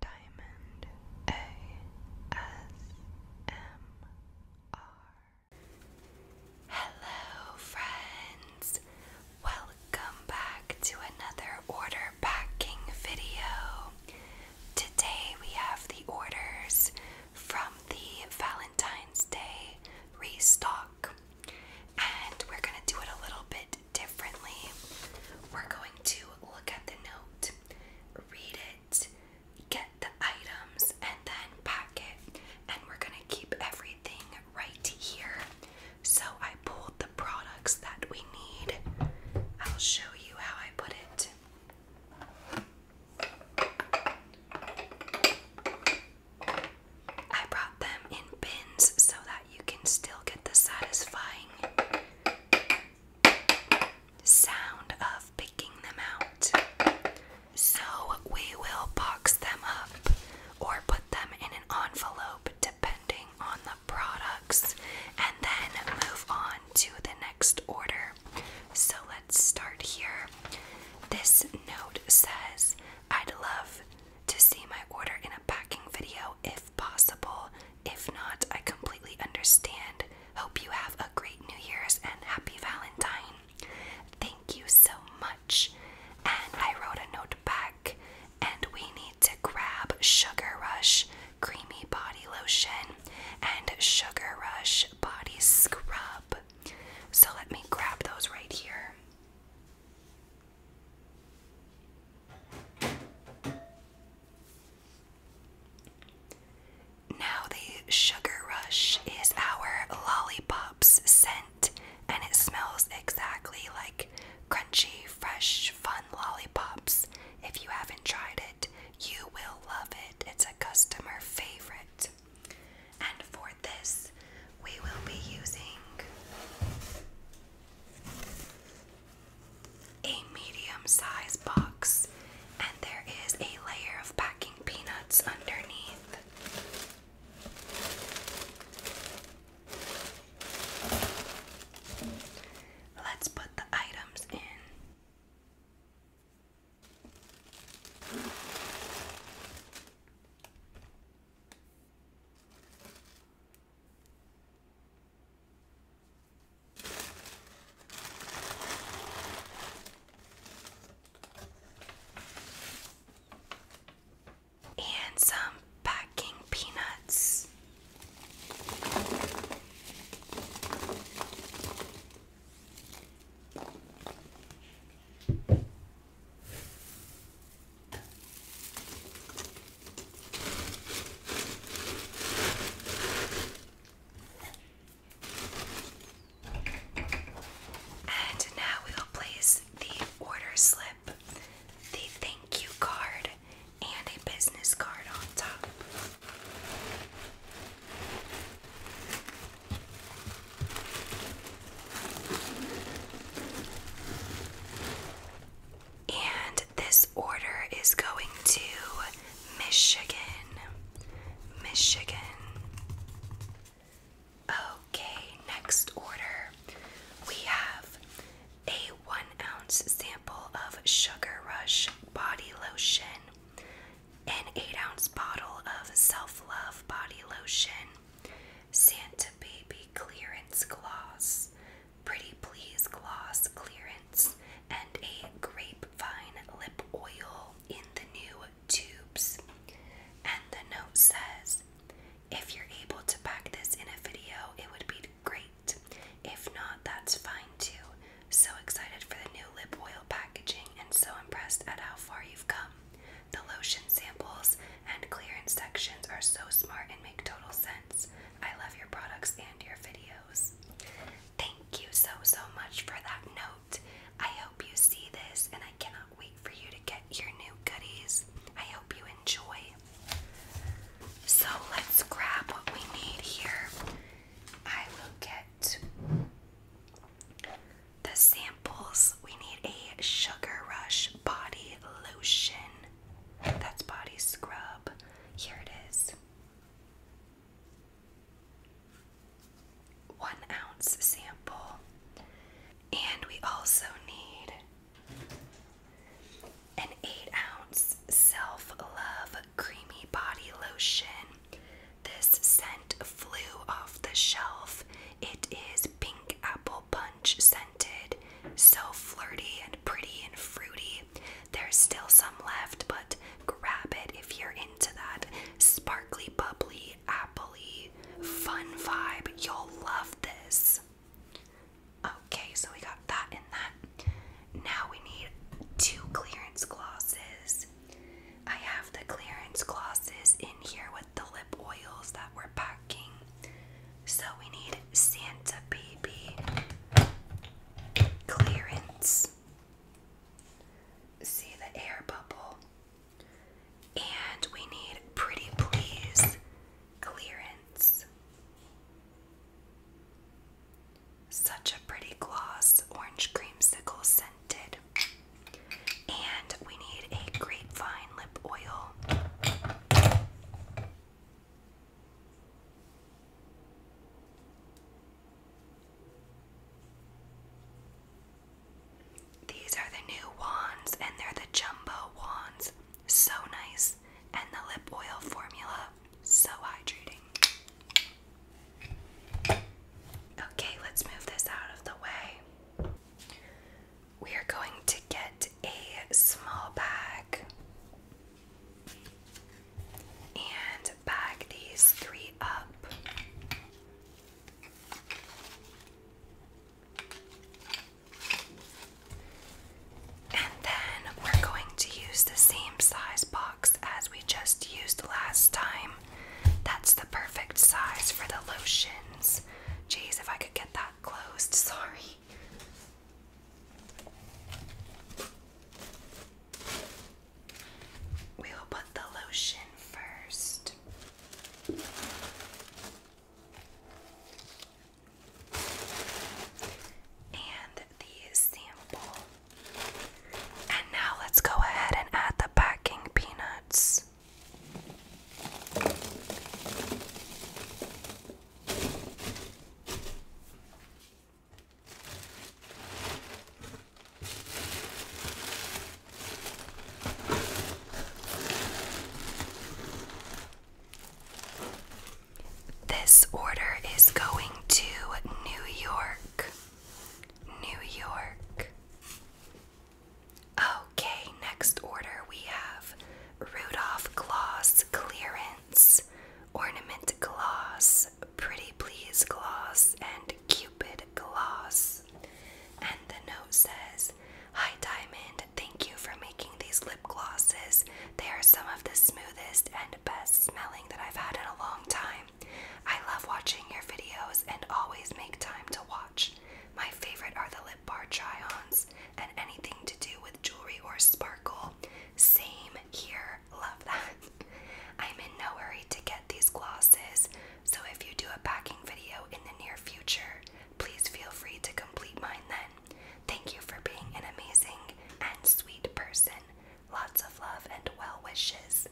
Diamond ASMR. Hello, friends! Welcome back to another order packing video. Today we have the orders from the Valentine's Day restock, and we're going to do it a little bit differently. We're going to look at the note, read it, get the items, and then pack it. And we're going to keep everything right here. So I pulled the products that we need. I'll show you how I put it. I brought them in bins so that you can still get the satisfying sound of picking them out. So we will box them up or put them in an envelope depending on the products and then move on to the next order. So let's start here. This note says, I'd love to see my order in a packing video if possible. If not, I completely understand. Hope you have a great New Year's and happy Valentine. Thank you so much. And I wrote a note back, and we need to grab Sugar Rush Creamy Body Lotion and Sugar Rush Body Scrub. So let me grab those right here. Now, the Sugar Rush is our lollipops scent, and it smells exactly like crunchy, fresh, fun lollipops. If you haven't tried it, you will love it. It's a customer favorite. And for this, we will be using a medium sized box, and there is a layer of packing peanuts underneath. Let's put the items in and some packing peanuts. And now we will place the order slip, the thank you card, and a business card on top. And this order is going to Michigan. Michigan. Okay, next order. We have a one ounce sample of Sugar Rush body lotion, an eight ounce bottle of Self Love body lotion, Santa Baby clearance gloss, Pretty Please Gloss Clearance, and a Grapevine Lip Oil in the new tubes. And the note says, if you're able to pack this in a video, it would be great. If not, that's fine too. So excited for the new lip oil packaging and so impressed at how far you've come. The lotion samples and clearance sections are so smart and make total sense. I love your products and your video. Thank you so, so much for that note. I hope you see this, and I cannot wait for you to get your new goodies. I hope you enjoy. So let's grab what we need here. I will get the samples. We need a Sugar Rush body lotion. That's body scrub. Here it is one ounce sample. And we also need an eight ounce self love creamy body lotion. This scent flew off the shelf. It is pink apple punch scented, so flirty and and pretty and fruity. There's still some left, but grab it if you're into that sparkly, bubbly, appley, fun vibe. You'll love this. Okay, so we got that and that. Now we need two clearance glosses. I have the clearance glosses in here with the lip oils that we're packing. So we need Santa Baby Clearance. See the air bubble. And we need Pretty Please Clearance. Such a pretty gloss, orange creamsicle scented. And we need a grapevine lip oil. These are the new wands, and they're the jumbo wands. So nice. And the lip oil formula, so hydrating. Okay, let's move this out of the way. We are going to get a small bag and bag these three up. And then we're going to use the same size box as we just used last time. That's the perfect size for the lotions. Jeez, if I could get that closed, sorry. We will put the lotion first. And the sample. And now let's go ahead and add the packing peanuts. This order is going to New York. New York. Okay, next order we have Rudolph Gloss Clearance Ornament Gloss, Pretty Please Gloss, and Cupid Gloss. And the note says, Hi Diamond, thank you for making these lip glosses. They are some of the smoothest and best smelling that I've had in a long time. I love watching your videos and always make time to watch. My favorite are the lip bar try ons and anything to do with jewelry or sparkle. Same here, love that. I'm in no hurry to get these glosses, so if you do a packing video in the near future, please feel free to complete mine then. Thank you for being an amazing and sweet person. Lots of love and well wishes.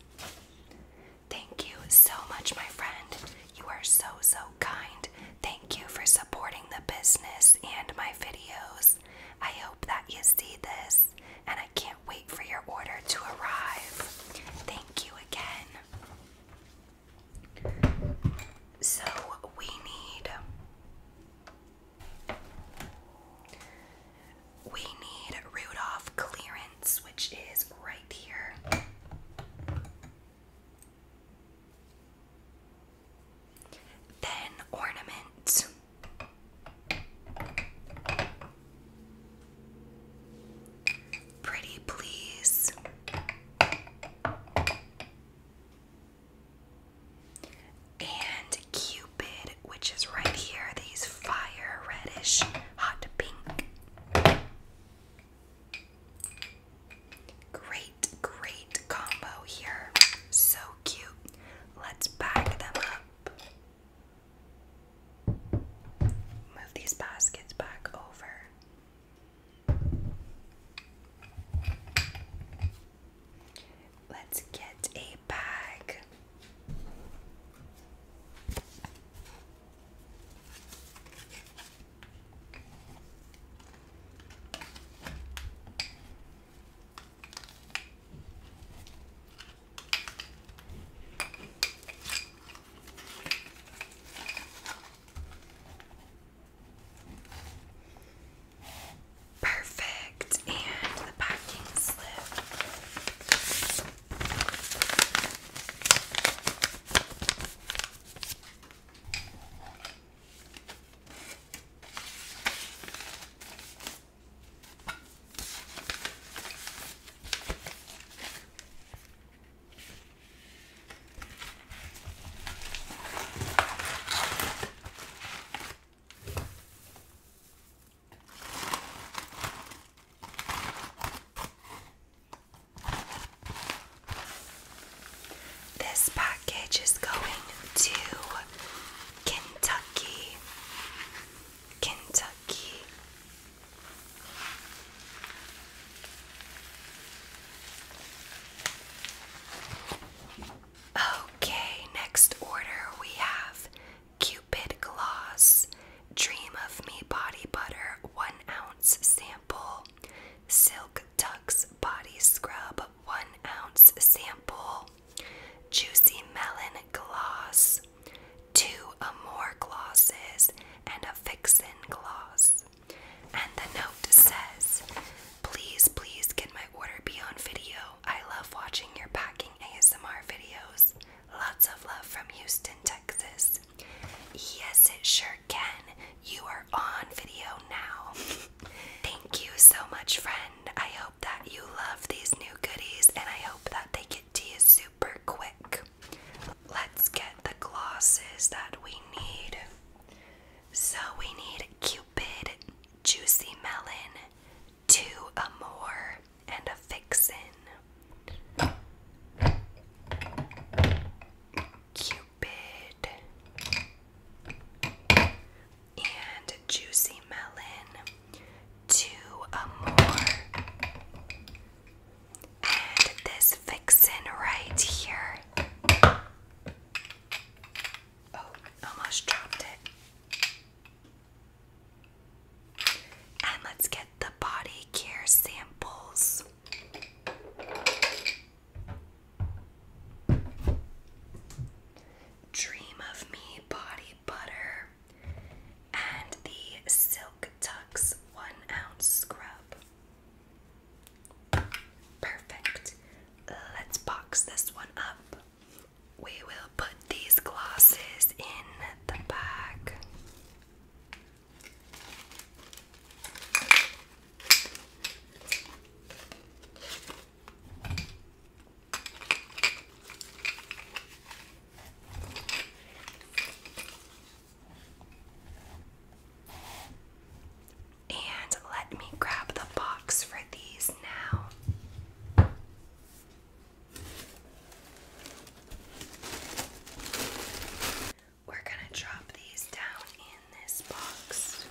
Thank you so much, my friend. You are so, so kind. Thank you for supporting the business and my videos. I hope that you see this, and I can't wait for your order to arrive. Thank you again. So, we need. We need Rudolph clearance, which is right here. Then ornament. Pretty please. And Cupid, which is right here, these fire reddish hot pink. Great, great combo here. So cute. Let's pack them up. Move these baskets back over. Let's get a bag. Perfect, and the packing slip. This package is going to Kentucky, Kentucky. Okay, next order we have Cupid Gloss, Dream of Me Body Butter, 1 ounce sample, Silk Tux Body Scrub, one ounce sample, juicy melon gloss, two Amore glosses, and a Fixin gloss. And the note says, Please, please get my order be on video. I love watching your packing ASMR videos. Lots of love from Houston, Texas. Yes, it sure can. You are on video now. Thank you so much, friend. I hope that you love these new goodies and I hope that they get to you super quick. Let's get the glosses that we need. So we need Cupid, Juicy Melon, Two Amour, and a Fixin. Cupid and juicy melon two Amore. Uh, and this vixen right here. Oh, almost dropped it. And let's get the body care samples. Dream of Me Body Butter and the Silk Tucks 1 ounce scrub. Perfect. Let's box this one up. We will put these glasses in the bag. And let me grab the box for these now. We're going to drop these down in this box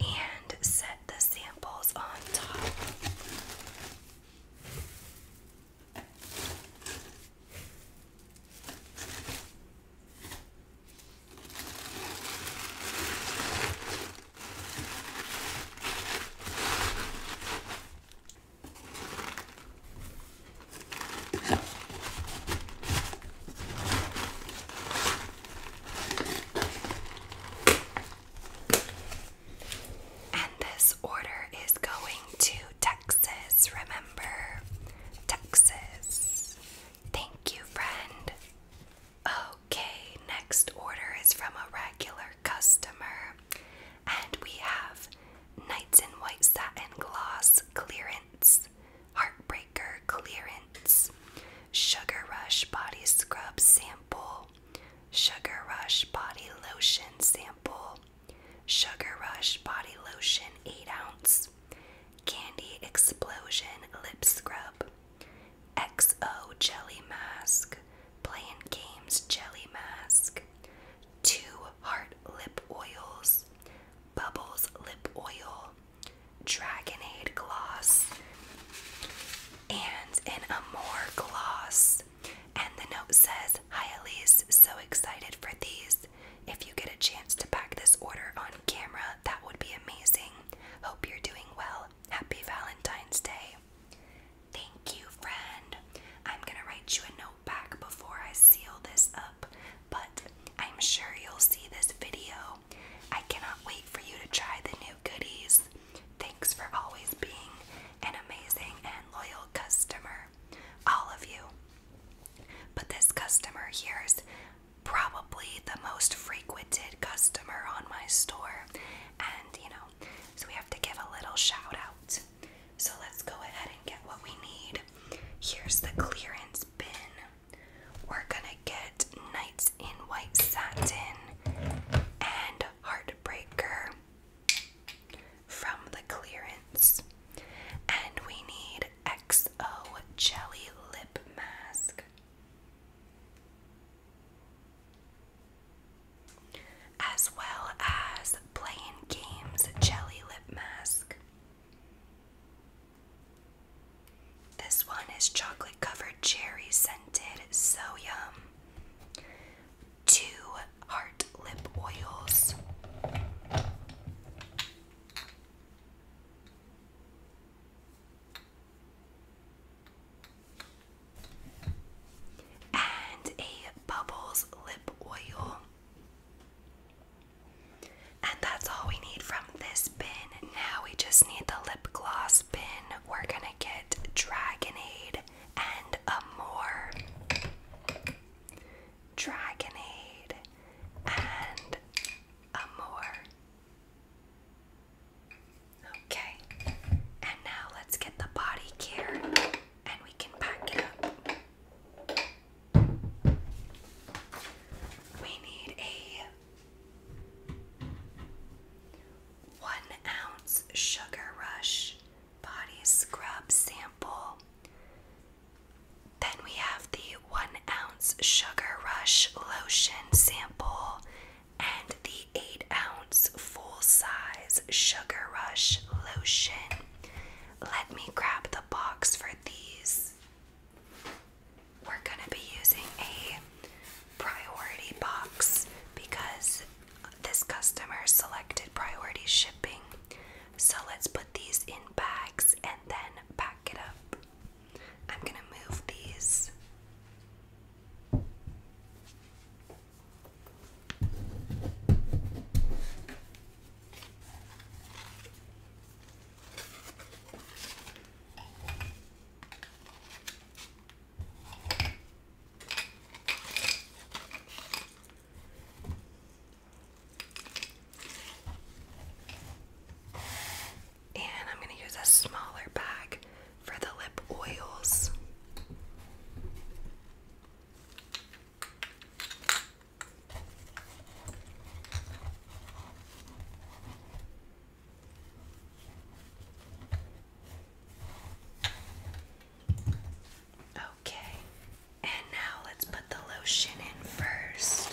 and set the samples on top. And this order is going to Texas, remember? Texas. Thank you, friend. Okay, next order is from a regular customer. And we have Knights in White Satin Gloss Clearance Heartbreaker Clearance, Sugar Rush Body Scrub Sample, Sugar Rush Body Lotion Sample, Sugar Rush Body Lotion 8 ounce, Candy Explosion Lip Scrub, XO Jelly Mask, Playing Games Jelly Mask, Two Heart Lip Oils, Bubbles Lip Oil, Dragonade gloss and in a more gloss. And the note says, Hi Elise, so excited for these. If you get a chance to pack this order on camera, that would be amazing. Hope you're doing well. Happy Valentine's Day. Thank you, friend. I'm gonna write you a note back before I seal this up, but I'm sure you'll see this video. I cannot wait for you to try the new goodies. Thanks for always being an amazing and loyal customer, all of you. But this customer here is probably the most frequented customer on my store, and you know, so we have to give a little shout out. So let's go ahead and get what we need. Here's the clearance bin. We're gonna get Nights in White Satin and Heartbreaker from the clearance. And we need XO Jelly Lip Mask. As well as Playing Games Jelly Lip Mask. This one is chocolate covered cherry scented, so yum. Two heart lip oils. And a bubbles lip oil. And that's all we need from this now we just need the lip gloss bin. We're gonna get Dragonade and a more Dragonade and Amour. Okay, and now let's get the body care and we can pack it up. We need a one ounce Sugar Rush body scrub sample. Then we have the one ounce Sugar Rush lotion sample and the eight ounce full size Sugar Rush lotion. Let me grab the box for these. We're gonna be using a priority box because this customer selected priority shipping. So let's put these in bags and then pack it up. I'm gonna move these. And I'm going to use a smaller bag for the lip oils. Okay, and now let's put the lotion in first.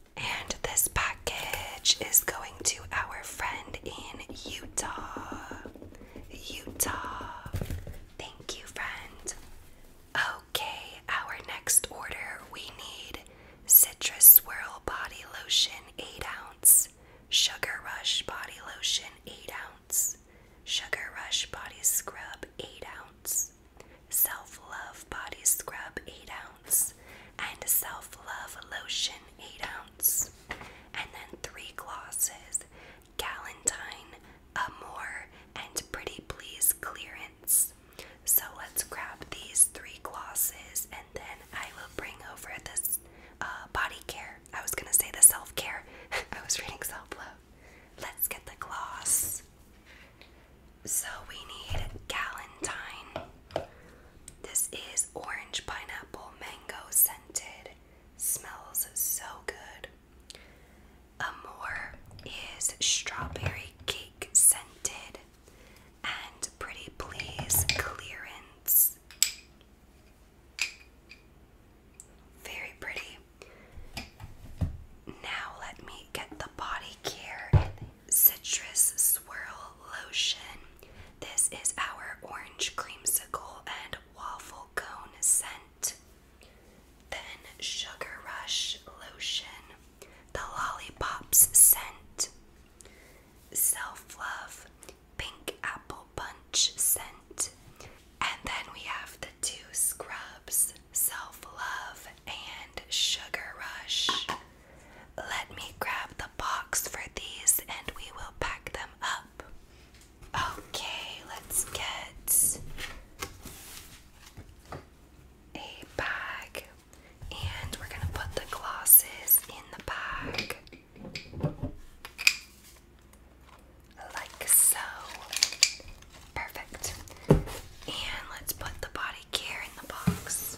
And this package is going to our friend in Utah. Utah. Thank you, friend. Okay, our next order we need Citrus Swirl Body Lotion 8 ounce, Sugar Rush Body Lotion 8 ounce, Sugar Rush Body Scrub 8 ounce, Self Love Body Scrub 8 ounce ounce, and self love lotion, 8 ounce, and then three glosses Galentine, Amore, and Pretty Please Clearance. So let's grab these three glosses and then I will bring over this uh, body care. I was gonna say the self care, I was reading self love. Let's get the gloss. So we need Galentine. This is orange pineapple mango scented. Smells so good. Amore is strawberry cake scented. And Pretty Please clearance. Very pretty. Now let me get the body care citrus swirl lotion. This is our orange creamsicle and waffle cone scent. Then Sugar Rush lotion, the lollipops scent, Self Love pink apple punch scent. And then we have the two scrubs, Self Love and Sugar Rush. Let me grab the box for these and we will pack them up. Okay, let's get a bag and we're going to put the glosses in the bag. Like so. Perfect. And let's put the body care in the box.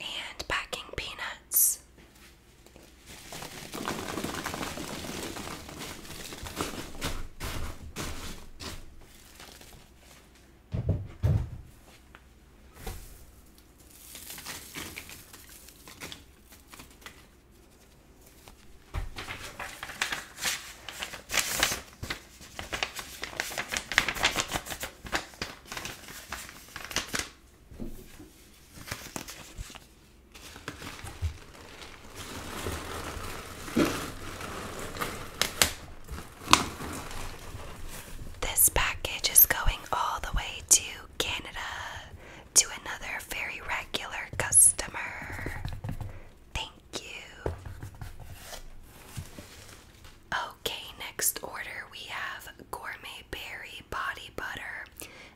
and packing peanuts. This package is going all the way to Canada to another very regular customer. Thank you. Okay, next order we have gourmet berry body butter,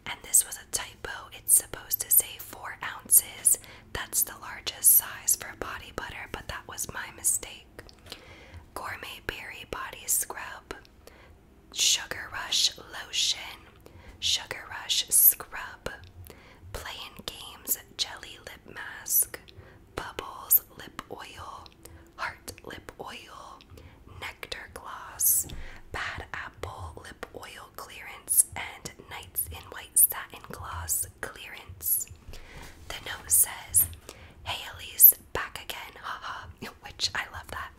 and this was a typo. It's supposed to say four ounces. That's the largest size for body butter, but that was my mistake. Gourmet berry body scrub, sugar rush lotion, sugar rush scrub, playing games jelly lip mask, bubbles lip oil heart lip oil, nectar gloss, bad apple lip oil clearance, and Nights in White Satin Gloss clearance. The note says, Hey Elise, back again, haha, which I love that.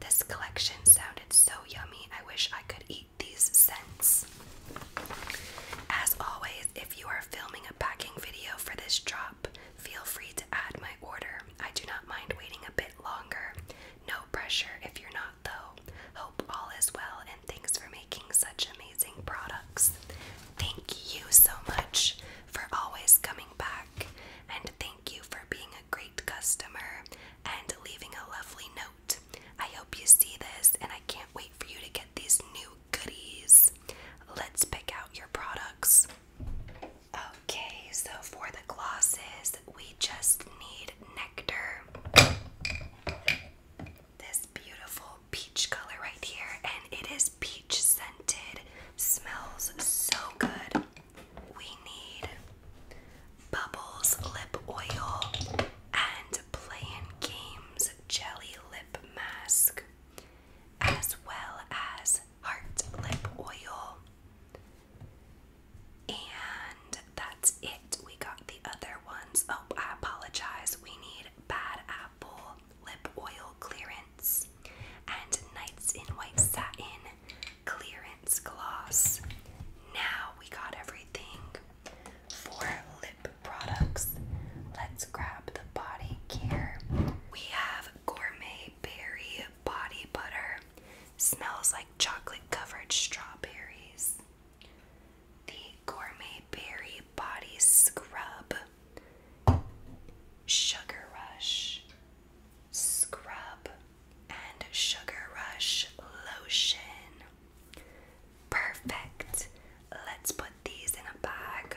This collection sounded so yummy, I wish I could eat these scents. As always, if you are filming a packing video for this draw, Feel free to add my order. I do not mind waiting a bit longer. No pressure if you're not, though. Hope all is well, and thanks for making such amazing products. Thank you so much for always coming back, and thank you for being a great customer and leaving a lovely note. I hope you see this, and I can't wait for you to get these new goodies. Let's pick out your products. Okay, so for the glosses, we just need nectar. This beautiful peach color right here, and it is peach scented. Smells so good. We need Bubbles Lip Oil and Playin' Games Jelly Lip Mask as well as heart lip oil. And that's it. We got the other ones. Oh, I apologize. We need Bad Apple Lip Oil Clearance and Nights in White Satin Clearance Gloss. Now we got everything for lip products. Let's grab the body care we have gourmet berry body butter. Smells like chocolate covered strawberries. The gourmet berry body scrub. Sugar rush. Scrub and sugar rush lotion. Perfect. Let's put these in a bag.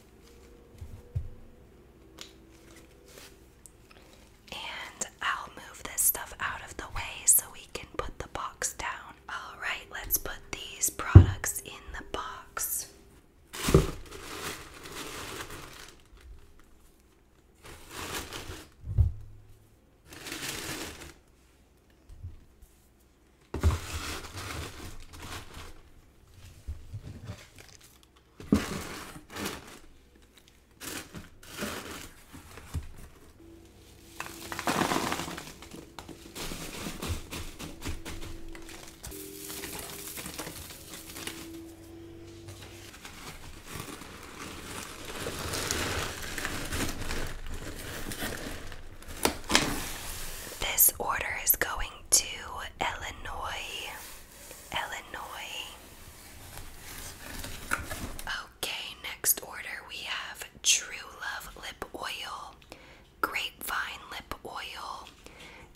And I'll move this stuff out of the way so we can put the box down. Alright, let's put these products in the box. This order is going to Illinois. Illinois. Okay, next order we have True Love Lip Oil, Grapevine Lip Oil,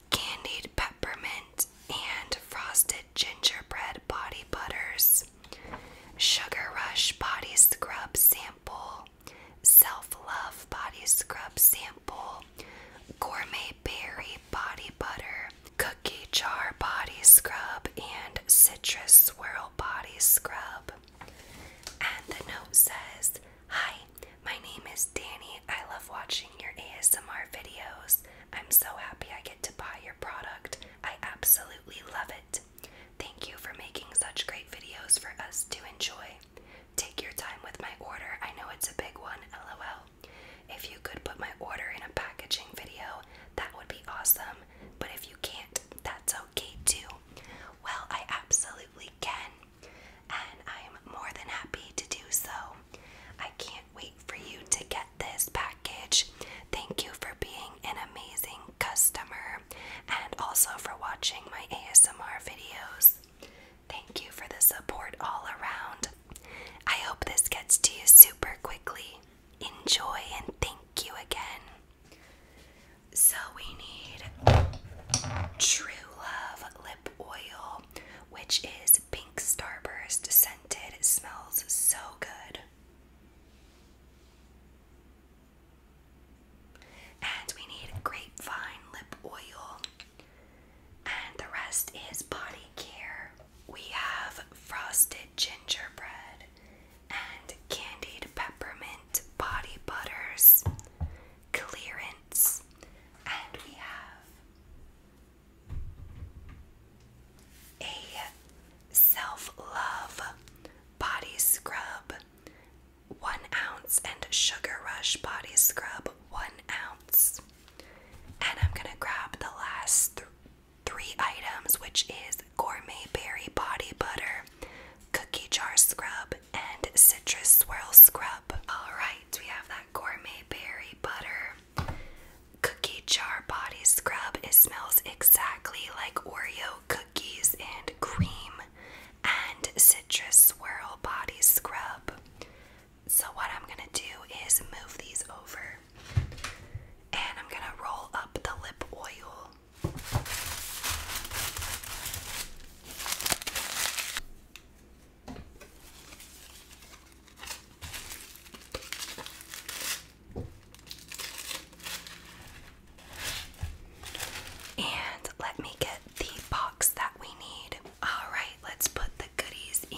Candied Peppermint, and Frosted Gingerbread Body Butters, Sugar Rush Body Scrub Sample, Self Love Body Scrub Sample, gourmet berry body butter, cookie jar body scrub, and citrus swirl body scrub. And the note says, Hi, my name is Danny. I love watching your ASMR videos. I'm so happy I get to buy your product. I absolutely love it. Thank you for making such great videos for us to enjoy. Take your time with my order. I know it's a big one, lol. If you could put my order in a packaging video, that would be awesome. But if you can't, that's okay too. Well, I absolutely can. And I'm more than happy to do so. I can't wait for you to get this package. Thank you for being an amazing customer and also for watching my ASMR videos. Thank you for the support all around. I hope this gets to you super quickly. Enjoy and thank you again. So, we need True Love Lip Oil, which is pink starburst scented. It smells so good. And we need Grapevine Lip Oil. And the rest is body care. We have frosted gingerbread and candied peppermint body butters, clearance, and we have a self love body scrub. One ounce and sugar rush body scrub, one ounce. And I'm gonna grab the last three items, which is gourmet berry body butter, cookie jar scrub, and citrus swirl scrub. Alright, we have that gourmet berry butter. Cookie jar body scrub. It smells exactly like Oreo cookies and cream and citrus swirl body scrub. So what I'm gonna do is move these over and I'm gonna roll up the lip oil. And let me get the box that we need. All right, let's put the. Cuties in.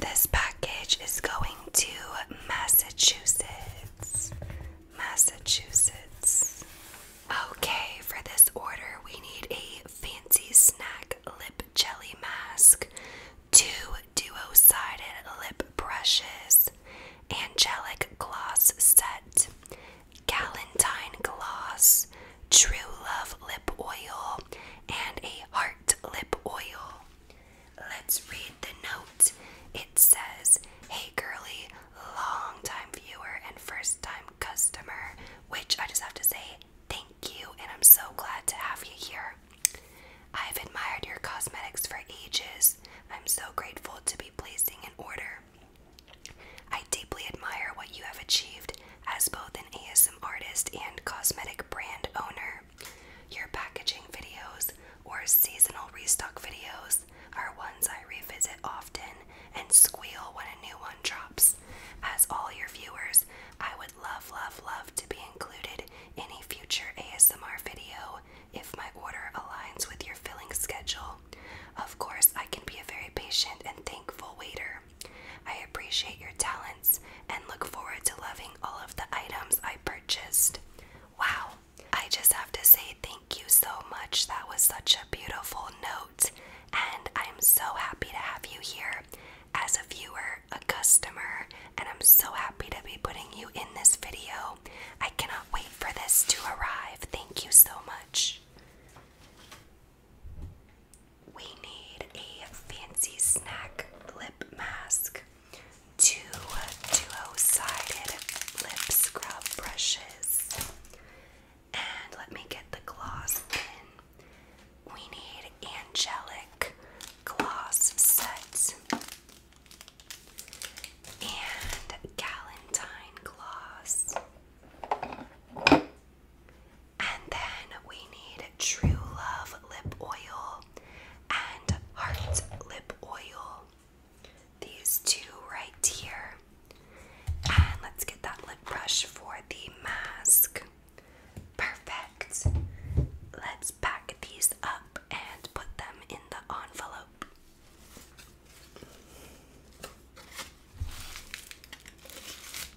This package is going to Massachusetts. Massachusetts. Okay, for this order, we need a fancy snack lip jelly mask, two duo sided lip brushes, angelic gloss set, galentine gloss, True Love Lip Oil, and a Heart Lip Oil. Let's read the note. It says, Hey girly, long time viewer and first time customer, which I just have to say, thank you, and I'm so glad to have you here. I've admired your cosmetics for ages. I'm so grateful to be placing an order. I deeply admire what you have achieved as both an ASM artist and cosmetic brand owner. Your packaging videos or seasonal restock videos are ones I revisit often and squeal when a new one drops. As all your viewers, I would love, love, love to be included in a future ASMR video if my order aligns with your filling schedule. Of course, I can be a very patient and thankful waiter. I appreciate your talents and look forward to loving all of the items I purchased. Wow, I just have to say thank you so much. That was such a beautiful note, and I'm so happy to have you here as a viewer, a customer, and I'm so happy to be putting you in this video. I cannot wait for this to arrive. Thank you so much we need a fancy snack lip mask, two duo-sided lip scrub brushes, and let me get the gloss in. We need angelic gloss set and galentine gloss. And then we need True Love Lip Oil and Heart Lip Oil. These two right here. And let's get that lip brush for the mask. Perfect. Let's pack these up and put them in the envelope.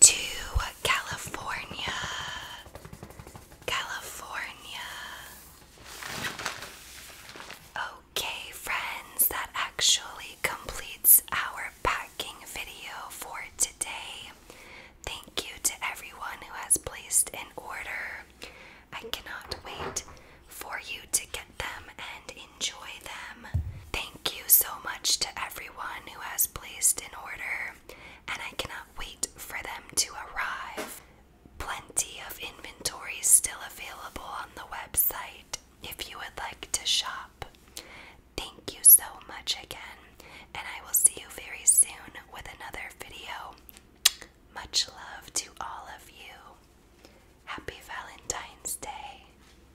to California. California. Okay, friends, that actually completes our packing video for today. Thank you to everyone who has placed an order. I cannot wait for you to get them and enjoy them. Thank you so much to everyone who has placed an order, and I cannot wait for them to arrive. Plenty of inventory is still available on the website if you would like to shop. Thank you so much again, and I will see you very soon with another video. Much love to all of you. Happy Valentine's Day.